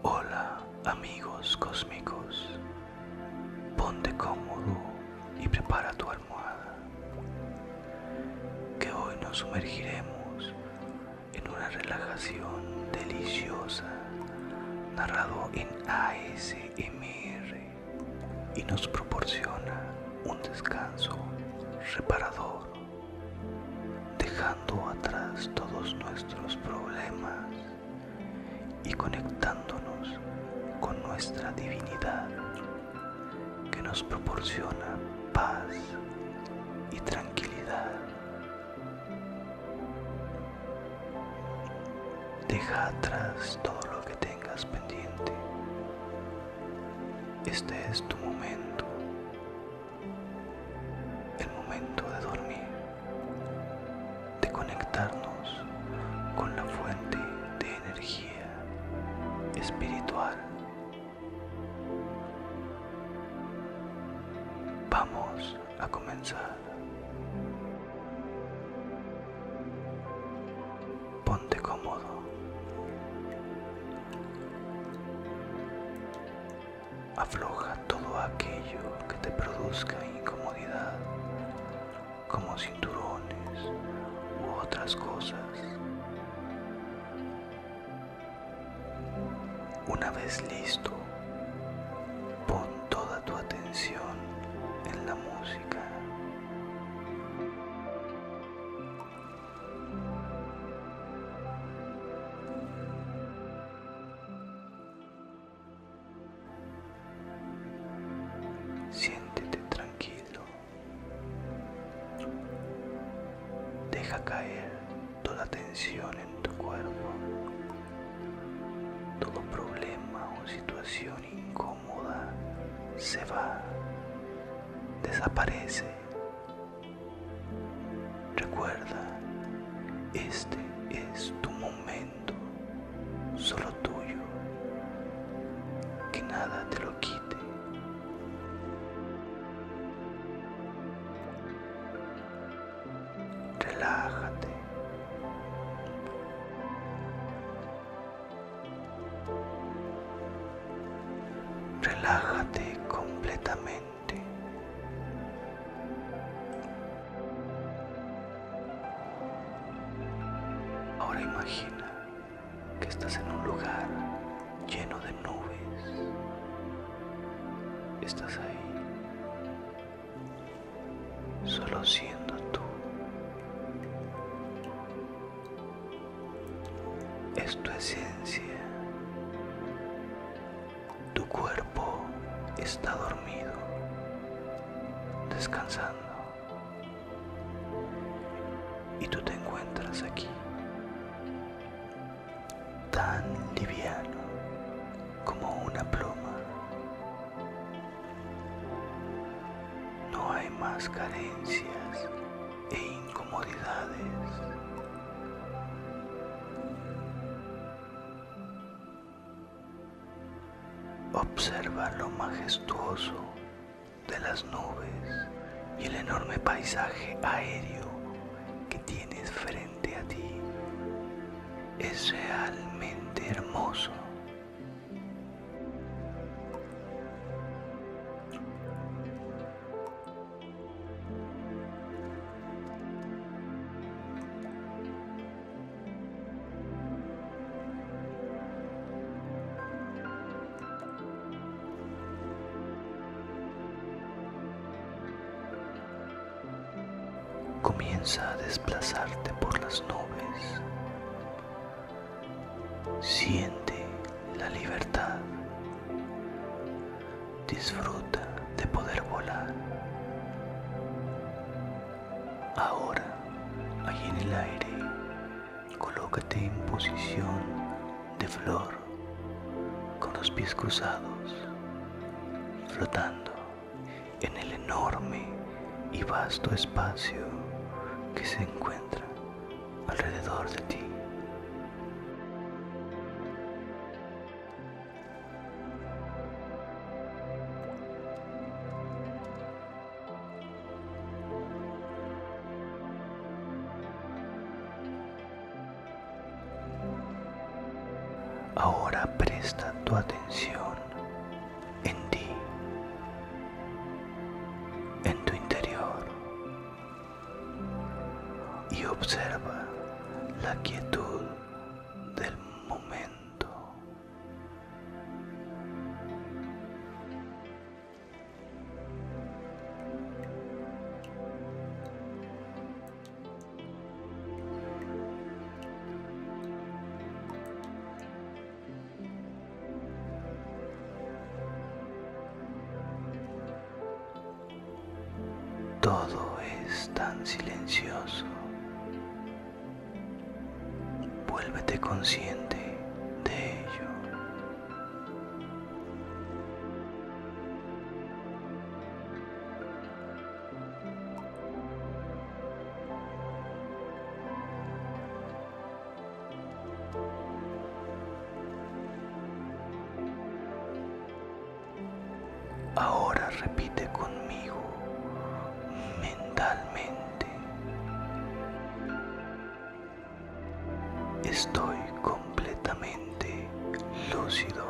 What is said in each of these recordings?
Hola amigos cósmicos, ponte cómodo y prepara tu almohada, que hoy nos sumergiremos en una relajación deliciosa, narrado en ASMR y nos proporciona un descanso reparador dejando atrás todos nuestros problemas y conectándonos con nuestra divinidad que nos proporciona paz y tranquilidad. Deja atrás todo lo que tengas pendiente. Este es tu momento el momento de dormir, de conectarnos con la fuente de energía espiritual. Vamos a comenzar. Ponte cómodo. Afloja todo aquello que te produzca incomodidad, como cinturones u otras cosas. Una vez listo, pon toda tu atención en la música. Siéntete tranquilo. Deja caer toda tensión en tu cuerpo, todo problema o situación incómoda se va, desaparece Recuerda, este es tu momento, solo tuyo. Que nada te lo quite. Relájate. Relájate completamente. Ahora imagina que estás en un lugar lleno de nubes. Estás ahí, solo siendo tú. Es tu esencia tu cuerpo está dormido, descansando. Y tú te encuentras aquí, tan liviano como una pluma. No hay más carencias e incomodidades. Observa lo majestuoso de las nubes y el enorme paisaje aéreo que tienes frente a ti. Es realmente hermoso. Comienza a desplazarte por las nubes. Siente la libertad. Disfruta de poder volar. Ahora, allí en el aire, colócate en posición de flor, con los pies cruzados, flotando en el enorme y vasto espacio que se encuentra alrededor de ti. Ahora presta tu atención en ti, en tu interior, y observa la quietud del momento. Todo es tan silencioso. Vuélvete consciente de ello. Ahora repite conmigo mentalmente. Estoy completamente lúcido.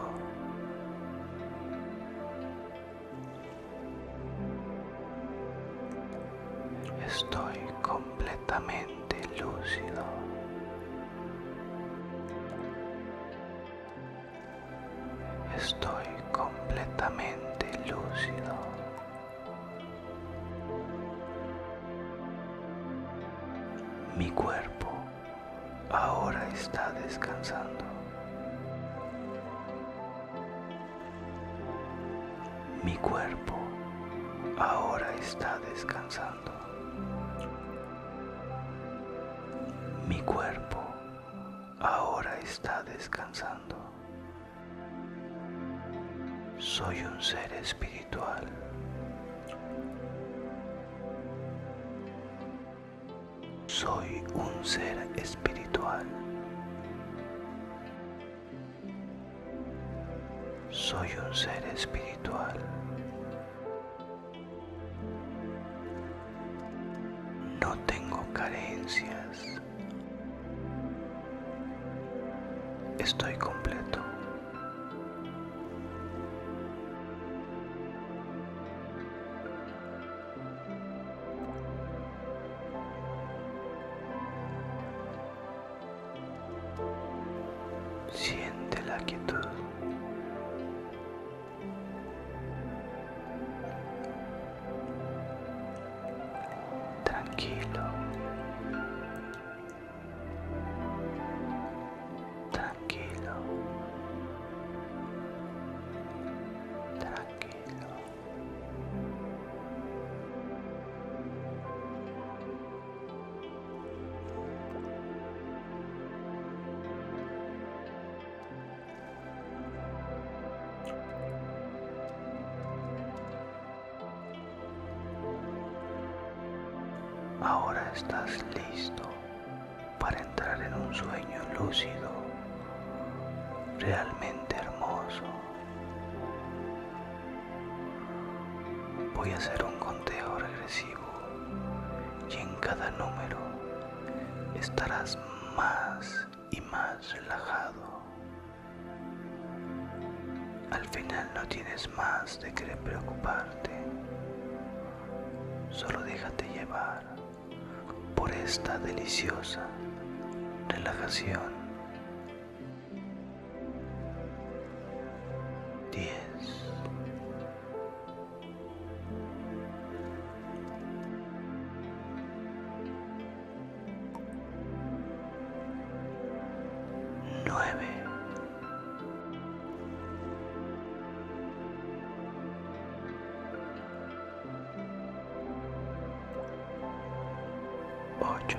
Estoy completamente Estoy completamente lúcido. Mi cuerpo ahora está descansando. Mi cuerpo ahora está descansando. Mi cuerpo ahora está descansando. Soy un ser espiritual. Soy un ser espiritual. Soy un ser espiritual. No tengo carencias. Estoy completo. Siente la quietud. Tranquilo. Tranquilo. Tranquilo. Ahora estás listo para entrar en un sueño lúcido, realmente hermoso. Voy a hacer un conteo regresivo y en cada número estarás más y más relajado. Al final no tienes más de qué preocuparte. Solo déjate llevar por esta deliciosa relajación diez. Nueve. Ocho.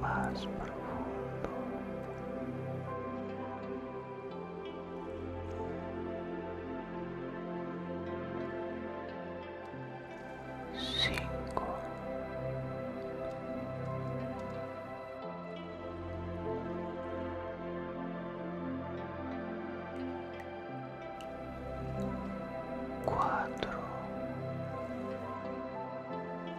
más profundo. Cinco. Cuatro.